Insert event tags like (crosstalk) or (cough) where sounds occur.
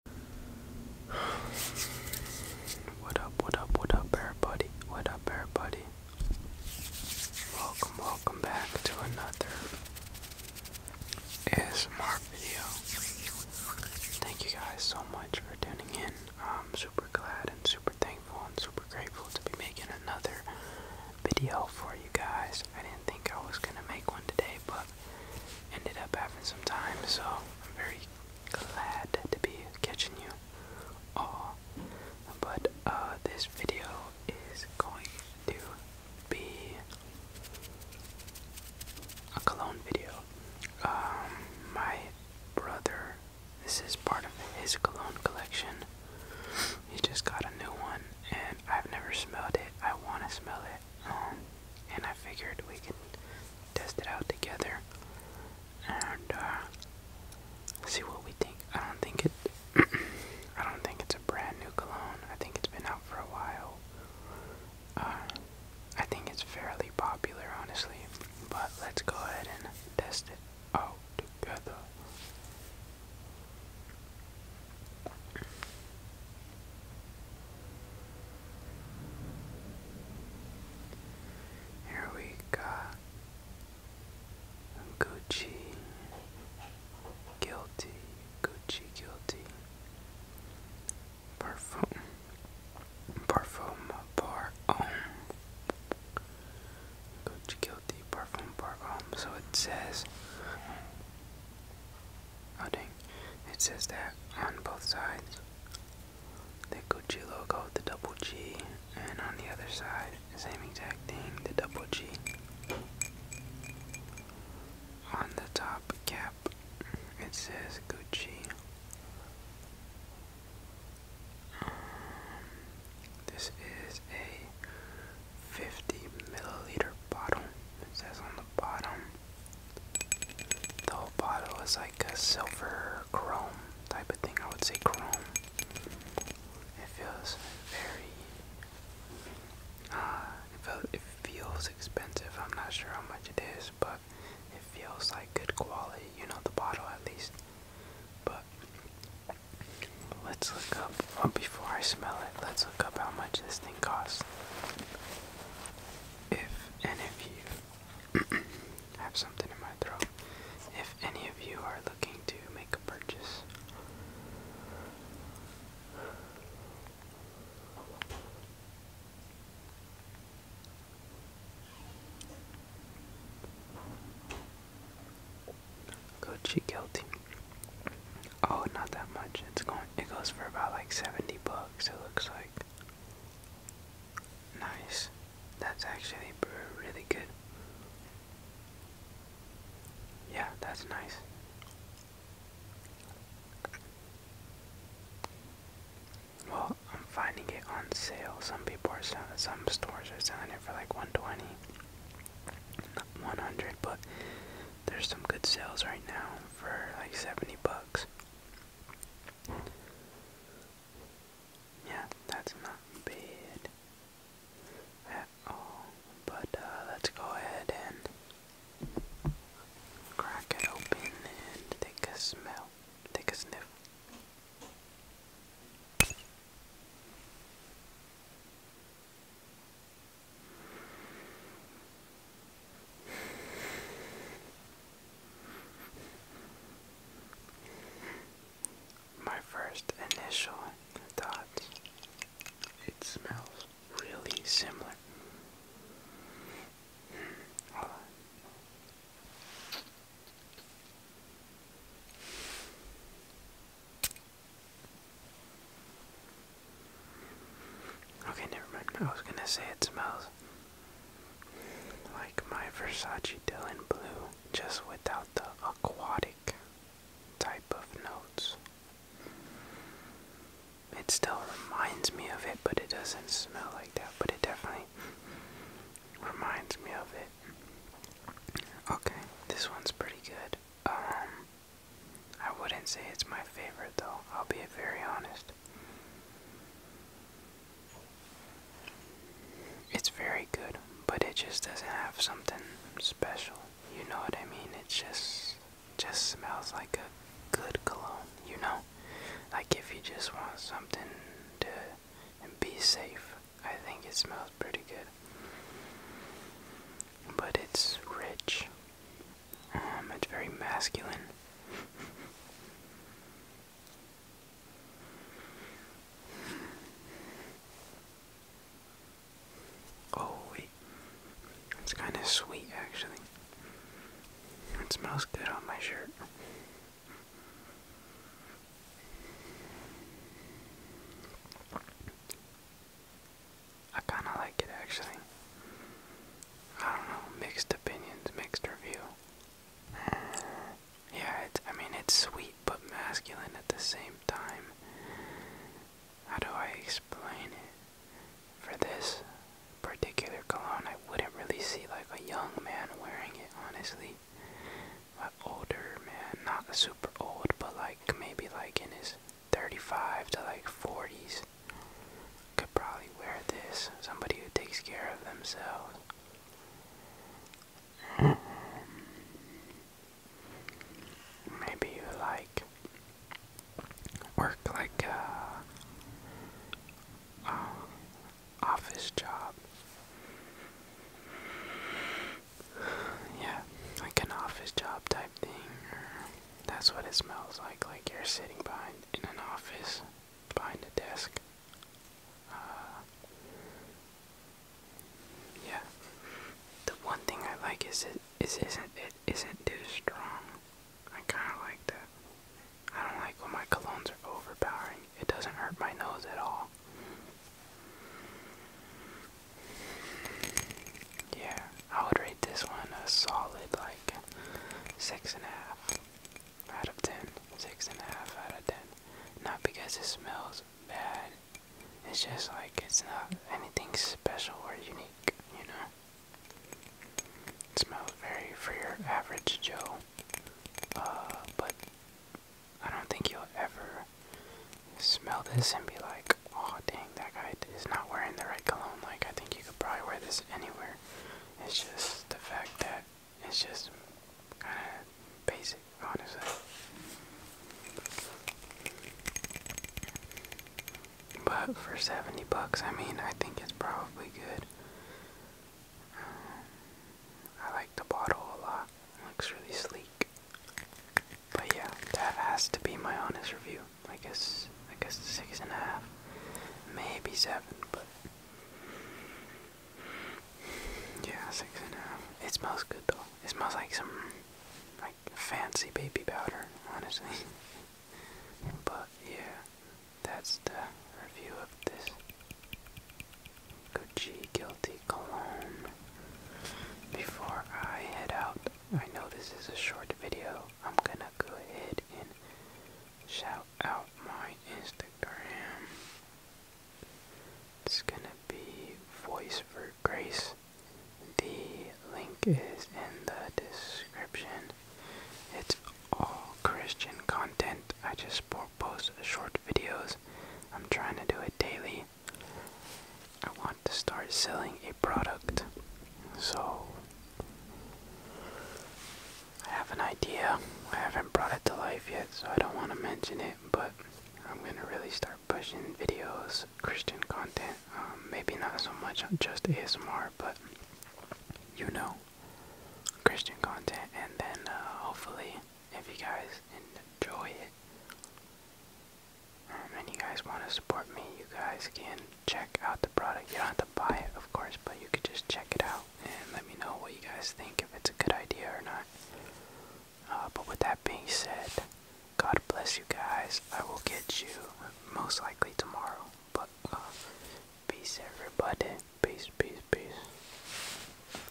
What up, what up, what up, everybody? What up, everybody? Welcome, welcome back to another ASMR video. Thank you guys so much for tuning in. I'm super glad and super thankful and super grateful to be making another video for you guys. I didn't think I was gonna make one today, but ended up having some time, so I'm very glad to be catching you all. But uh, this video is going to be a cologne video. Um, my brother, this is part of his cologne collection. He just got a new one, and I've never smelled it. I want to smell it and I figured we could test it out together and uh, see what we think. I don't think it. (clears throat) I don't think it's a brand new cologne. I think it's been out for a while. Uh, I think it's fairly popular, honestly. But let's go ahead and test it out together. Here we got Gucci guilty, Gucci guilty. Parfum, parfum, par um. Gucci guilty, parfum, par um. So it says Oh It says that on both sides. The Gucci logo, the double G, and on the other side, the same exact thing, the double G. On the top cap, it says Gucci. Um, this is a 50 milliliter bottle. It says on the bottom the whole bottle is like a silver chrome type of thing. I would say chrome. It feels very. Uh, it, feels expensive. I'm not sure how much it is, but it feels like good quality. You know, the bottle at least. But let's look up. Oh, before I smell it, let's look up how much this thing costs. If any of you (clears throat) have something in my throat, if any of you are looking to make a purchase, Go check out team. Oh, not that much. It's going. It goes for about like seventy bucks. It looks like. Nice. That's actually really good. Yeah, that's nice. Well, I'm finding it on sale. Some people are selling. Some stores are selling it for like one twenty. 100 but there's some good sales right now for like 70 bucks. Yeah, that's not bad at all. But uh, let's go ahead and crack it open and take a smell, take a sniff. My first initial thoughts it smells really similar. Hmm, Okay, never mind. I was gonna say it smells like my Versace Dylan Blue, just without the aquatic type of notes. It still reminds me of it, but it doesn't smell like that, but it definitely reminds me of it. Okay, this one's pretty good. Um I wouldn't say it's my favorite though, I'll be very honest. It's very good, but it just doesn't have something special. You know what I mean? It just just smells like a good cologne, you know? Like if you just want something to be safe, I think it smells pretty good. But it's rich. Um, it's very masculine. oh, wait. It's kind of sweet, actually. It smells good on my shirt. I kind of like it actually. I don't know, mixed opinions, mixed review. (sighs) yeah, it's, I mean, it's sweet but masculine at the same time. How do I explain it? For this particular cologne, I wouldn't really see like a young man wearing it, honestly. An older man, not super old, but like maybe like in his 35 to like 40s could probably wear this. Somebody who takes care of themselves. Maybe you like work like a, uh, um, office job yeah, like an office job type thing, that's what it smells like, like you're sitting behind, in an office, behind a desk, uh, yeah, the one thing I like is it, is isn't, it isn't too strong, I kinda like that, I don't like when my colognes are overpowering, it doesn't hurt my nose at all. Yeah, I would rate this one a solid like six and a half out of ten. Six and a half out of ten. Not because it smells bad. It's just like it's not anything special or unique, you know. It smells very for your average Joe. Uh, but I don't think you'll ever smell this and be like, oh dang, that guy is not wearing the right cologne. Like, I think you could probably wear this anywhere. It's just the fact that it's just kind of basic, honestly. But for 70 bucks, I mean, I think it's probably good. Um, I like the bottle a lot. It looks really sleek. But yeah, that has to be my honest review. I guess I guess six and a half. Maybe seven, but yeah, six and a half. It smells good though. It smells like some like fancy baby powder, honestly. (laughs) but yeah, that's the review of this Gucci Guilty Cologne. Before I head out, I know this is a short video. I'm gonna go ahead and shout out my Instagram. It's gonna be Voice for Grace. The link is in the description. It's all Christian content. I just post short videos. I'm trying to do it daily. I want to start selling a product. So I have an idea. I haven't brought it to life yet, so I don't want to mention it, but I'm going to really start pushing videos, Christian content. Um, maybe not so much just ASMR, but you know, Christian content. And then uh, hopefully, if you guys enjoy it, um, and you guys want to support me, you guys can check out the product. You don't have to buy it, of course, but you could just check it out and let me know what you guys think if it's a good idea or not. Uh, but with that being said, God bless you guys. I will get you most likely tomorrow. But uh, peace, everybody. Peace, peace, peace.